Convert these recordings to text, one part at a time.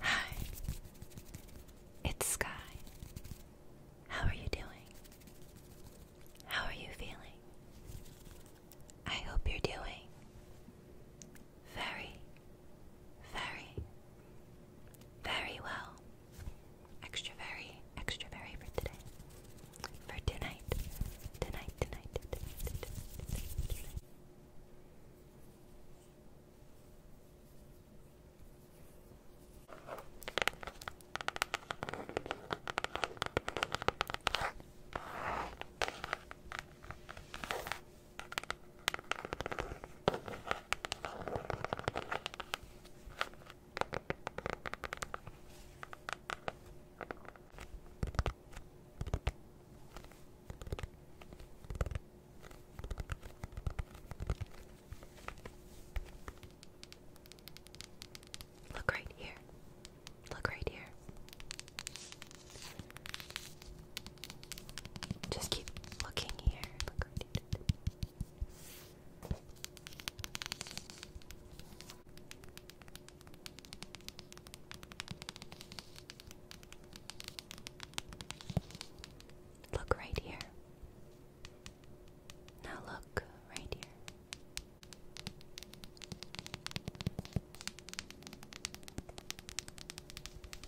Hi, it's Sky. How are you doing? How are you feeling? I hope you're doing very, very, very well. Extra very, extra very for today. For tonight. Tonight, tonight, tonight, Look right here. Look right here. Just keep looking here. Look right here. Now look right here.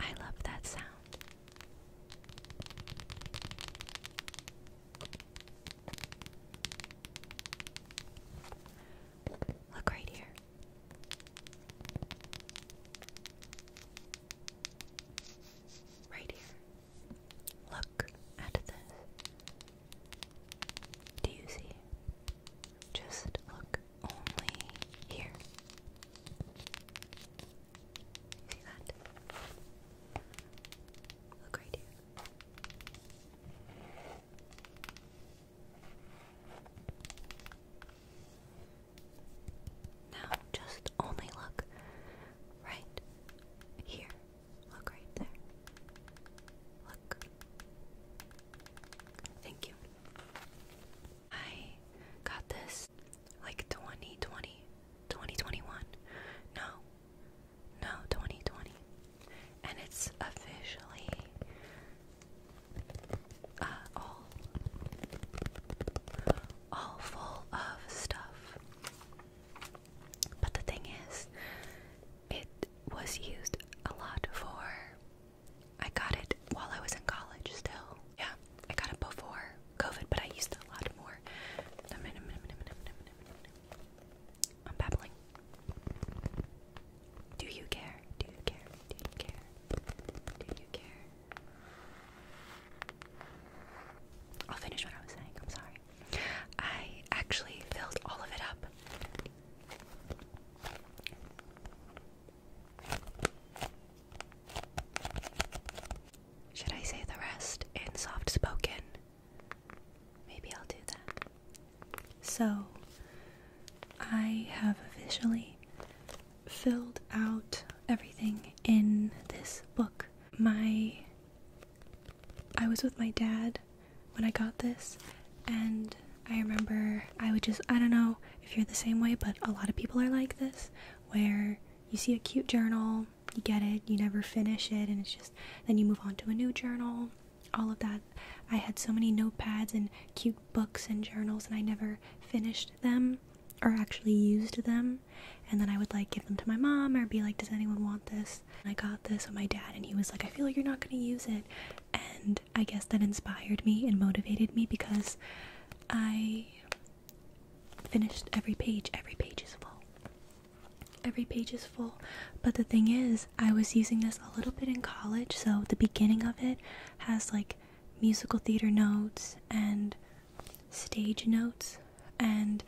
I love that sound. Look right here. Right here. Look at this. Do you see? Just look only here. See that? Look right here. Now just only look right here. Look right there. Look. Thank you. I got this like 2020, 2021. No, no, 2020. And it's officially uh, all, all full of stuff. But the thing is, it was used a lot for. I got it while I was in college still. Yeah, I got it before COVID, but I used it a lot more. I'm babbling. Do you care? Do you care? Do you care? Do you care? I'll finish what I was saying. I'm sorry. I actually filled all of it up. Should I say the rest in soft spoken? Maybe I'll do that. So, I have officially filled out everything in this book. My I was with my dad when I got this, and I remember I would just, I don't know if you're the same way, but a lot of people are like this, where you see a cute journal, you get it, you never finish it, and it's just, then you move on to a new journal, all of that. I had so many notepads and cute books and journals, and I never finished them or actually used them. And then I would like give them to my mom or be like, Does anyone want this? I got this with my dad, and he was like, I feel like you're not gonna use it. And I guess that inspired me and motivated me because I finished every page. Every page is full. Every page is full. But the thing is, I was using this a little bit in college, so the beginning of it has like musical theater notes and stage notes. And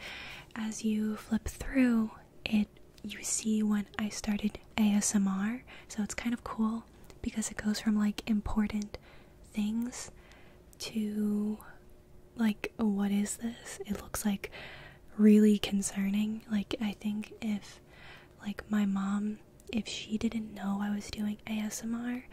as you flip through, it you see when I started ASMR, so it's kind of cool because it goes from like important things to like what is this? It looks like really concerning. Like I think if like my mom if she didn't know I was doing ASMR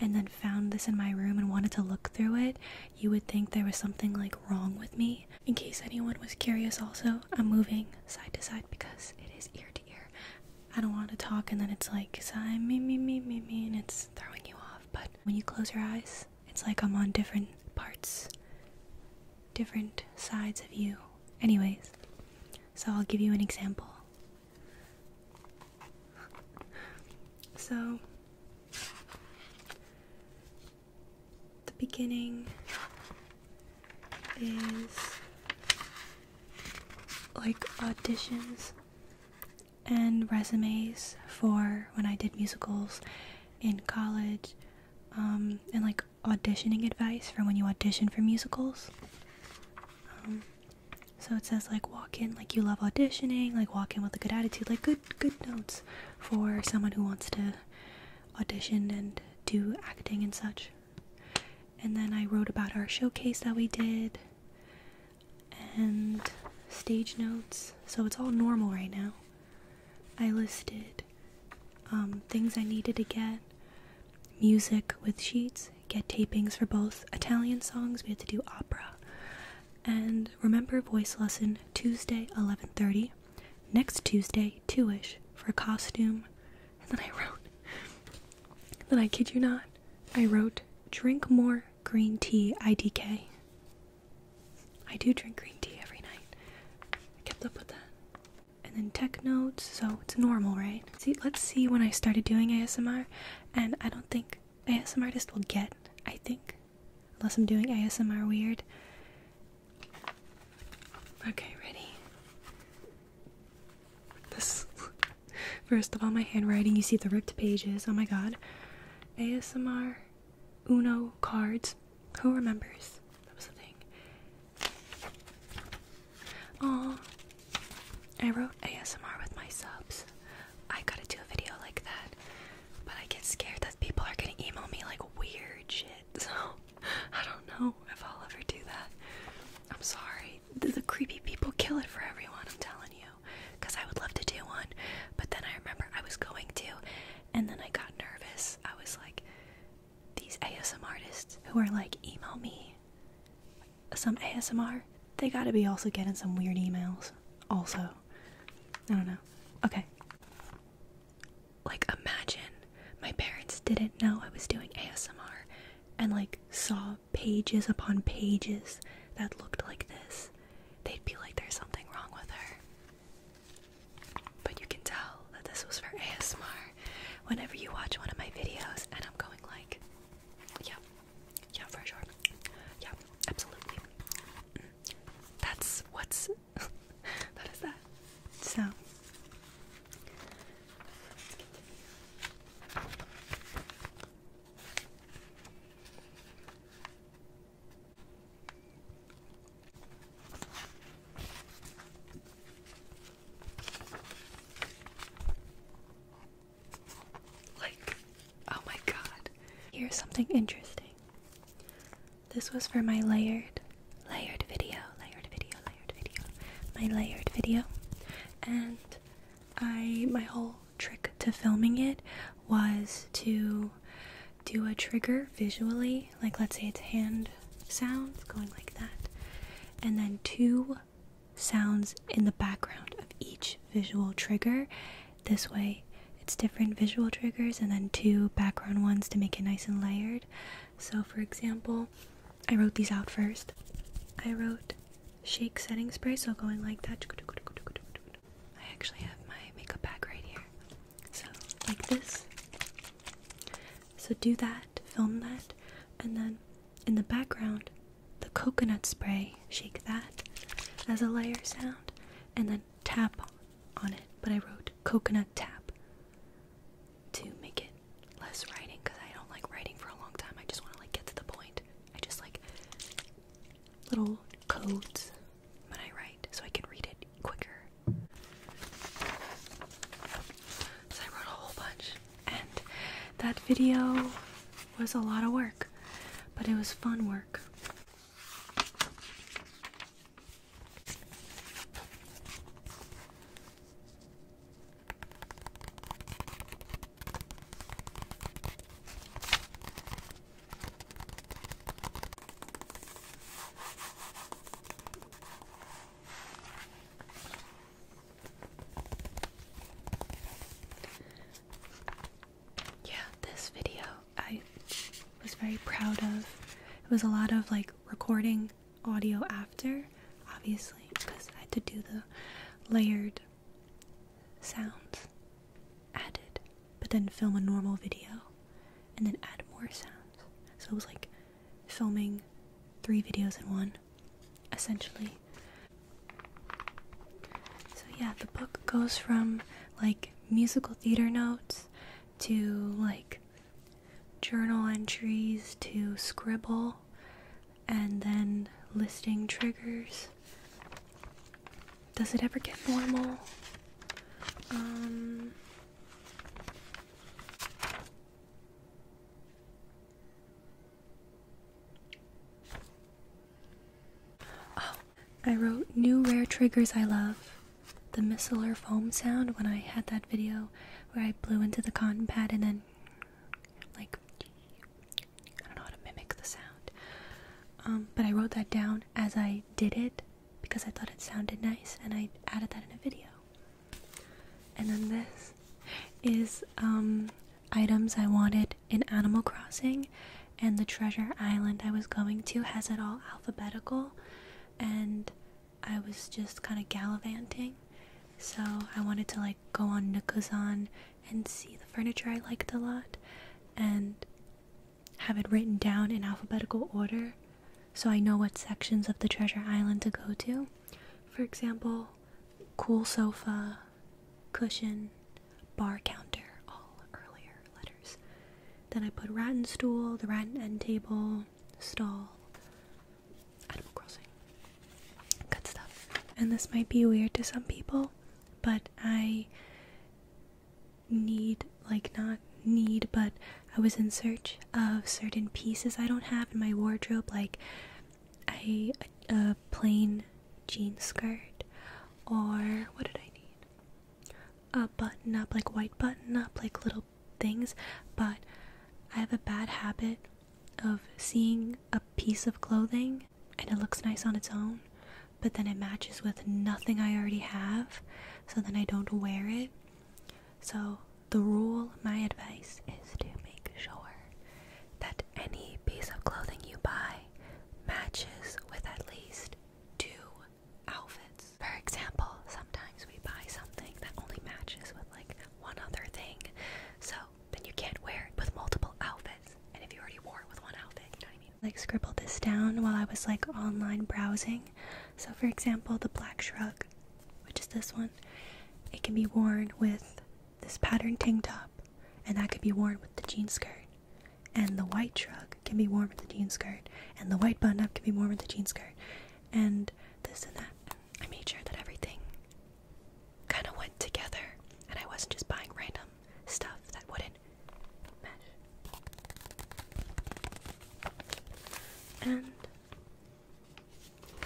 and then found this in my room and wanted to look through it, you would think there was something like wrong with me. In case anyone was curious, also, I'm moving side to side because it is ear to ear. I don't want to talk, and then it's like, I'm me, me, me, me, me, and it's throwing you off. But when you close your eyes, it's like I'm on different parts, different sides of you. Anyways, so I'll give you an example. So, the beginning is like auditions and resumes for when I did musicals in college, um, and like auditioning advice for when you audition for musicals. Um, so it says like walk in like you love auditioning, like walk in with a good attitude, like good good notes for someone who wants to audition and do acting and such. And then I wrote about our showcase that we did and stage notes. So it's all normal right now. I listed um, things I needed to get, music with sheets, get tapings for both Italian songs, we had to do opera. And remember voice lesson Tuesday 11:30. Next Tuesday, two for a costume. And then I wrote, then I kid you not, I wrote, drink more green tea IDK. I do drink green tea every night. I kept up with that. And then tech notes, so it's normal, right? See, let's see when I started doing ASMR, and I don't think ASMR artist will get, I think, Unless I'm doing ASMR weird. Okay, ready. This. First of all, my handwriting, you see the ripped pages. Oh my god. ASMR Uno cards. Who remembers? That was the thing. Aw. I wrote ASMR with my subs. I gotta do a video like that. But I get scared that people are gonna email me like weird shit. So I don't know if I'll ever do that. I'm sorry. The, the creepy people kill it for everyone, I'm telling you. Because I would love to do one. But then I remember I was going to, and then I got nervous. I was like, these ASM artists who are like, email me some ASMR, they gotta be also getting some weird emails. Also, I don't know. Okay like imagine my parents didn't know I was doing ASMR and like saw pages upon pages that looked like this. They'd be like, there's something wrong with her. But you can tell that this was for ASMR. Whenever you watch one of my videos and I'm going like, yeah, yeah, for sure. Yeah, absolutely. That's what's that is that. So Like, oh my god, here's something interesting. This was for my layered, layered video, layered video, layered video, my layered video. And I, my whole trick to filming it was to do a trigger visually, like let's say it's hand sounds going like that, and then two sounds in the background of each visual trigger. This way, its different visual triggers and then two background ones to make it nice and layered. So, for example, I wrote these out first. I wrote shake setting spray, so going like that. I actually have my makeup bag right here. So, like this. So, do that, film that, and then in the background, the coconut spray, shake that as a layer sound, and then tap on it, but I wrote coconut tap to make it less writing because I don't like writing for a long time. I just want to like get to the point. I just like little codes when I write so I can read it quicker. So I wrote a whole bunch, and that video was a lot of work, but it was fun work. Yeah, this video I was very proud of. It was a lot of like recording audio after, obviously, because I had to do the layered sounds added, but then film a normal video and then add more sounds. So it was like filming three videos in one, essentially. So, yeah, the book goes from like musical theater notes to like journal entries, to scribble, and then listing triggers. Does it ever get normal? Um, oh, I wrote new rare triggers I love the micellar foam sound when I had that video where I blew into the cotton pad and then, like, I don't know how to mimic the sound. Um, but I wrote that down as I did it because I thought it sounded nice and I added that in a video. And then this is um, items I wanted in Animal Crossing, and the treasure island I was going to has it all alphabetical and I was just kind of gallivanting. So I wanted to like go on Nikuzan and see the furniture I liked a lot and have it written down in alphabetical order so I know what sections of the treasure island to go to. For example, cool sofa, cushion, bar counter, all earlier letters. Then I put rat and stool, the rat and end table, stall, Animal Crossing. Good stuff. And this might be weird to some people, but I need, like, not need, but I was in search of certain pieces I don't have in my wardrobe, like a plain jean skirt, or what did I need? button up, like white button up, like little things, but I have a bad habit of seeing a piece of clothing and it looks nice on its own, but then it matches with nothing I already have, so then I don't wear it. So, the rule, my advice is to make sure that any piece of clothing you buy matches with at least two outfits. For example, sometimes we buy something that only matches with like one other thing, so then you can't wear it with multiple outfits. And if you already wore it with one outfit, you know what I mean? Like, scribbled this down while I was like online browsing. So, for example, the black shrug, which is this one, it can be worn with this patterned tank top, and that could be worn with the jean skirt. And the white shrug can be worn with the jean skirt, and the white button up can be worn with the jean skirt, and this and that. I made sure that everything kind of went together, and I wasn't just buying random stuff that wouldn't match. And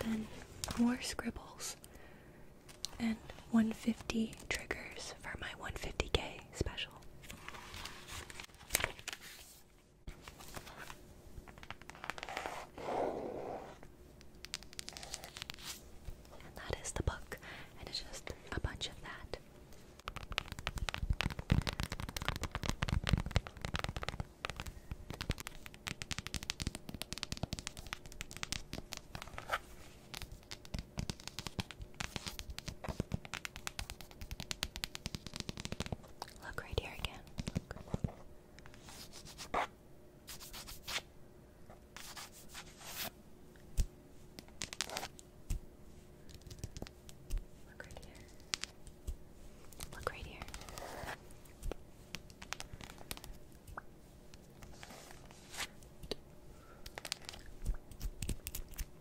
then more scribbles and 150 triggers for my 150k special. And that is the book, and it's just a bunch of that. Look right here again. Look. Look right here. Look right here.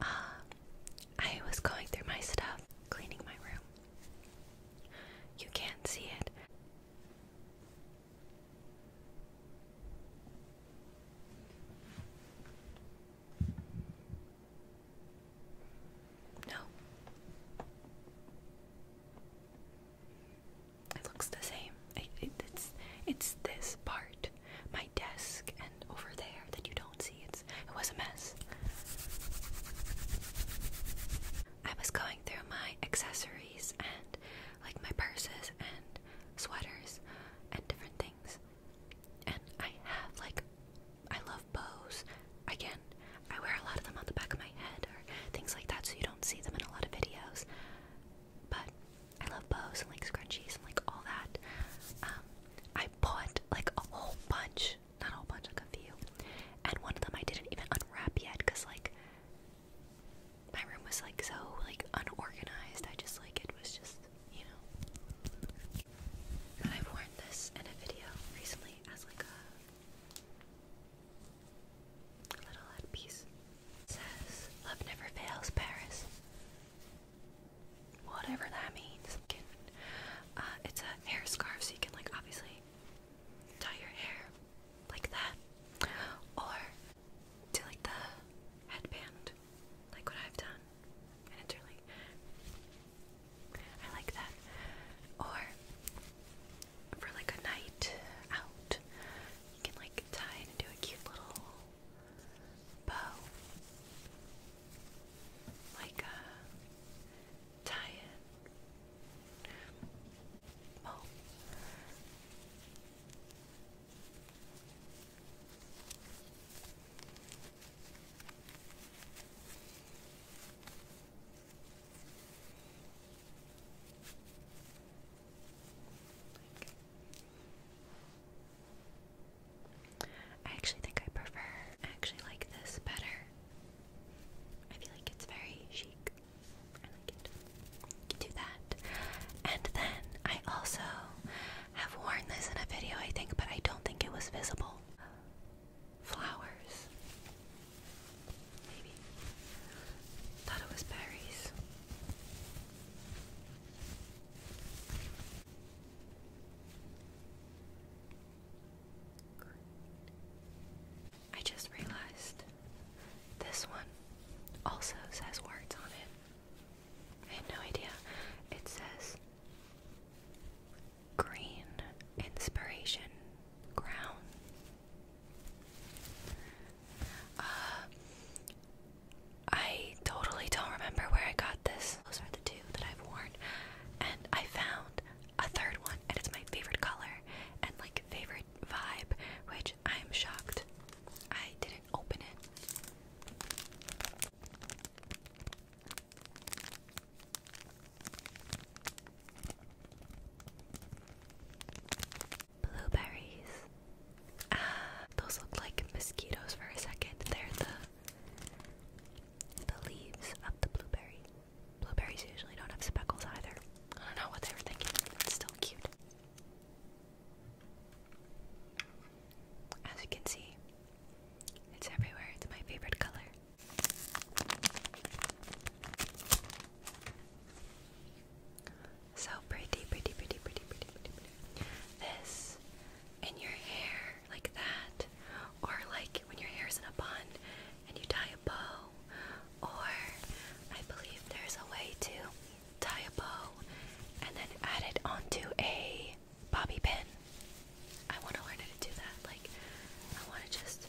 Uh, I was going through my stuff, cleaning my room. You can't see it. No. It looks the same. it's it's this part, my desk, and over there that you don't see. It's it was a mess. I was going through my accessories and like my purses and sweaters and different things, and I have like I love love bows. Again, I wear a lot of them on the back of my head or things like that, so you don't see them in a lot of videos. But I love bows and like scrunchies and like all that. Um, I bought like a whole bunch, not a whole bunch, like a few, and one of them I didn't even unwrap yet because like my room was like so like unorganized. I just like it was just you know. But I've worn this in a video recently as like a Little head says, Love never fails, Paris. Whatever that means. Uh, it's a hair scarf, so you can, like, obviously tie your hair like that. Or do, like, the headband, like what I've done. And it's really I like that. Or for like a night out, you can like tie it into a cute little bow. Like uh tie it. Well I actually think I prefer, I actually like this better. I feel like it's very chic. do that. And then I also have worn this in a video, I think, but I don't think it was visible flowers. Maybe. Thought it was berries. I just realized this one also says words on it. I had no idea. It says Green Inspiration Crown. Uh, I totally don't remember where I got this. Those are the two that I've worn, and I found a third one, and it's my favorite color and like favorite vibe, which I'm shocked I didn't open it. Blueberries. Ah, those look like mosquitoes for a second. They're the the leaves of the blueberry. Blueberries usually don't have speckles either. I don't know what they were thinking. It's still cute. As you can see, it's everywhere. It's my favorite color. So pretty, pretty, pretty, pretty, pretty, pretty, pretty. This in your hair like that, or like when your hair's in a bun and you tie a bow, or I believe there's a way to tie a bow and then add it onto a bobby pin. I want to learn how to do that. Like, I want to just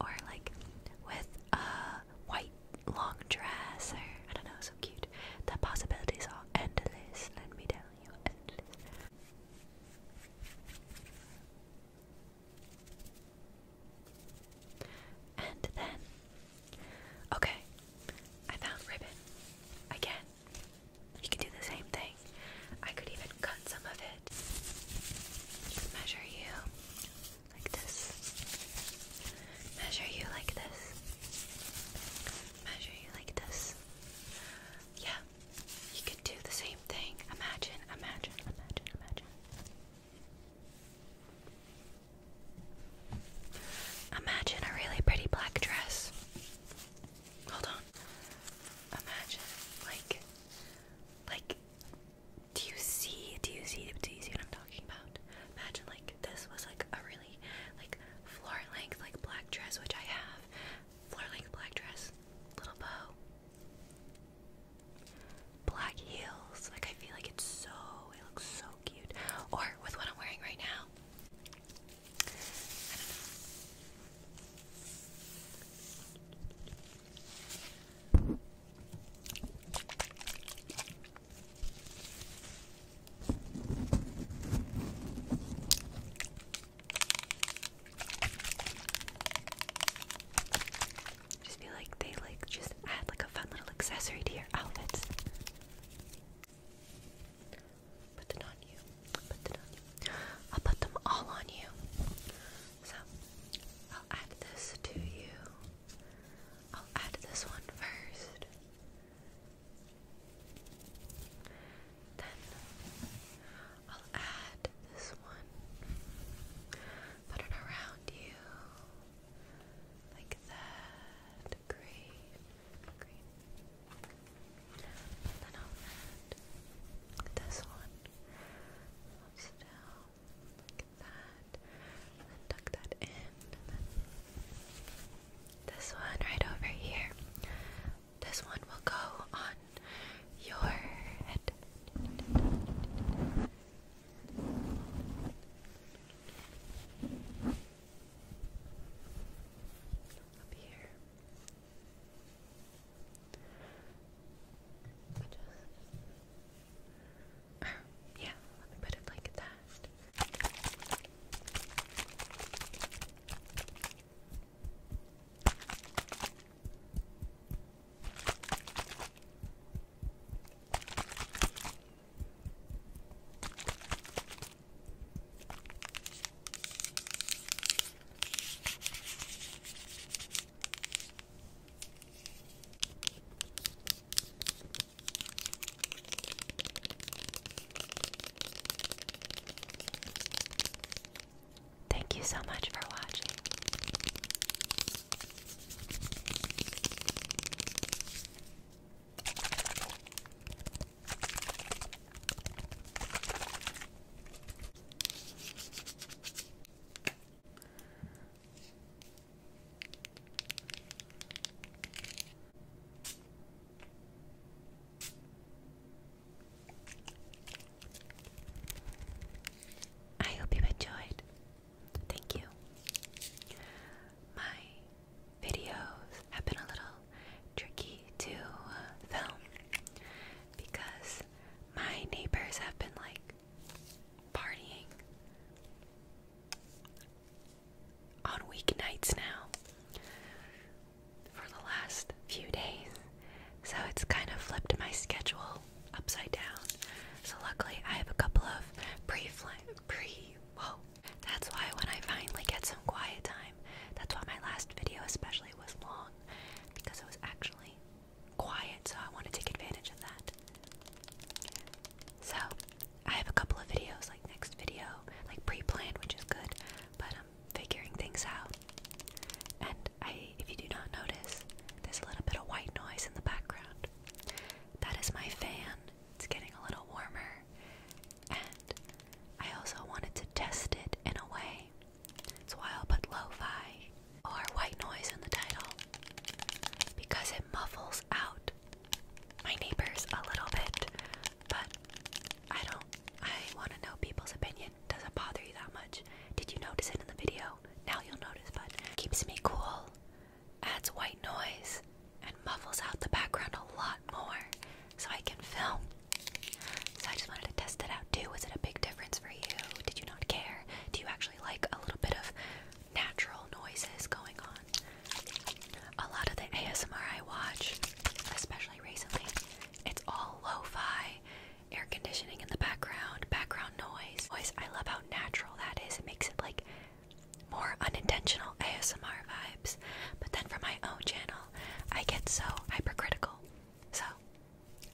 or like with a white long dress, or I don't know, so cute. The possibilities are endless, let me tell you, endless. And then, okay, I found ribbon again. You can do the same thing. I could even cut some of it. measure you like this. Measure you like this. Measure you like this. Yeah, you could do the same thing. Imagine, imagine, imagine, imagine. Imagine a really pretty black dress. Hold on. Imagine like like do you see? Do you see? Do you see what I'm talking about? Imagine like this was like a really like floor length like black dress, which I have. Floor length black dress, little bow, black heels. Like I feel like it's so. It looks so cute. Or with what I'm wearing right now. Just feel like they like just add like a fun little accessory to your outfits. Put it on you. Put it on you. I'll put them all on you. So I'll add this to you. I'll add this one first. Then I'll add this one. Put it around you. Like that. Green. Green. then I'll add this one yourself still. Like that. then tuck that in. this one right over here. This one will go on your head. Up here. Just... Or, yeah, let me put it like that. Thank you so much for watching. I hope you enjoyed. Thank you. My videos have been a little tricky to uh, film because my neighbors have been like partying on weeknights now for the last few days. So it's kind of flipped my schedule upside down. So luckily I have a couple of pre-flight pre whoa. That's why when I finally get some quiet time, that's why my last video especially was long because it was actually quiet, so I want to take advantage of that. So, I have a couple of videos, like next video, like pre-planned, which is good, but I'm figuring things out. And I, if you do not notice, there's a little bit of white noise in the background. That is my fan. It's getting a little warmer, and I also wanted to test it in a way so I'll put lo fi or white noise in the title because it muffles out my neighbors a little bit, but I don't. I want to know people's opinion. Does it bother you that much? Did you notice it in the video? Now you'll notice, but keeps me cool, adds white noise, and muffles out the background a lot more so I can film. So I just wanted to test it out too. Was it a big difference for you? Did you not care? Do you actually like a little bit of natural noises going on? A lot of the ASMR I watch, especially recently, it's all lo-fi, air conditioning in the background, background noise. Voice. I love how natural that is. It makes it like more unintentional ASMR vibes. But then for my own channel, I get so hypercritical. So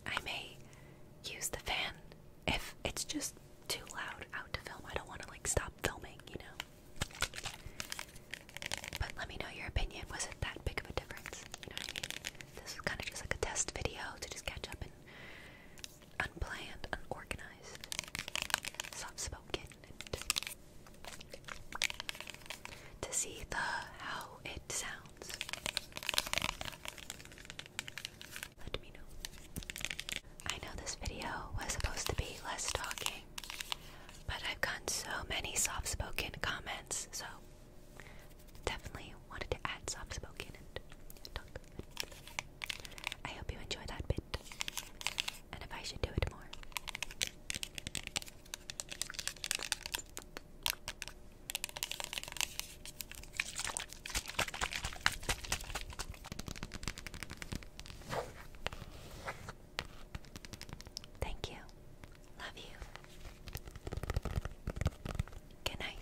I may use the fan if it's just too loud out to film. I don't want to like stop filming, you know. But let me know your opinion. Was it that big of a difference? This was kind of just like a test video to just catch up and unplanned, unorganized, soft spoken, to see the how it sounds. Let me know. I know this video was supposed to be less talking, but I've gotten so many soft spoken comments, so definitely wanted to add soft spoken and talk. I hope you enjoy that bit, and if I should do it more. Thank you. Love you. Good night.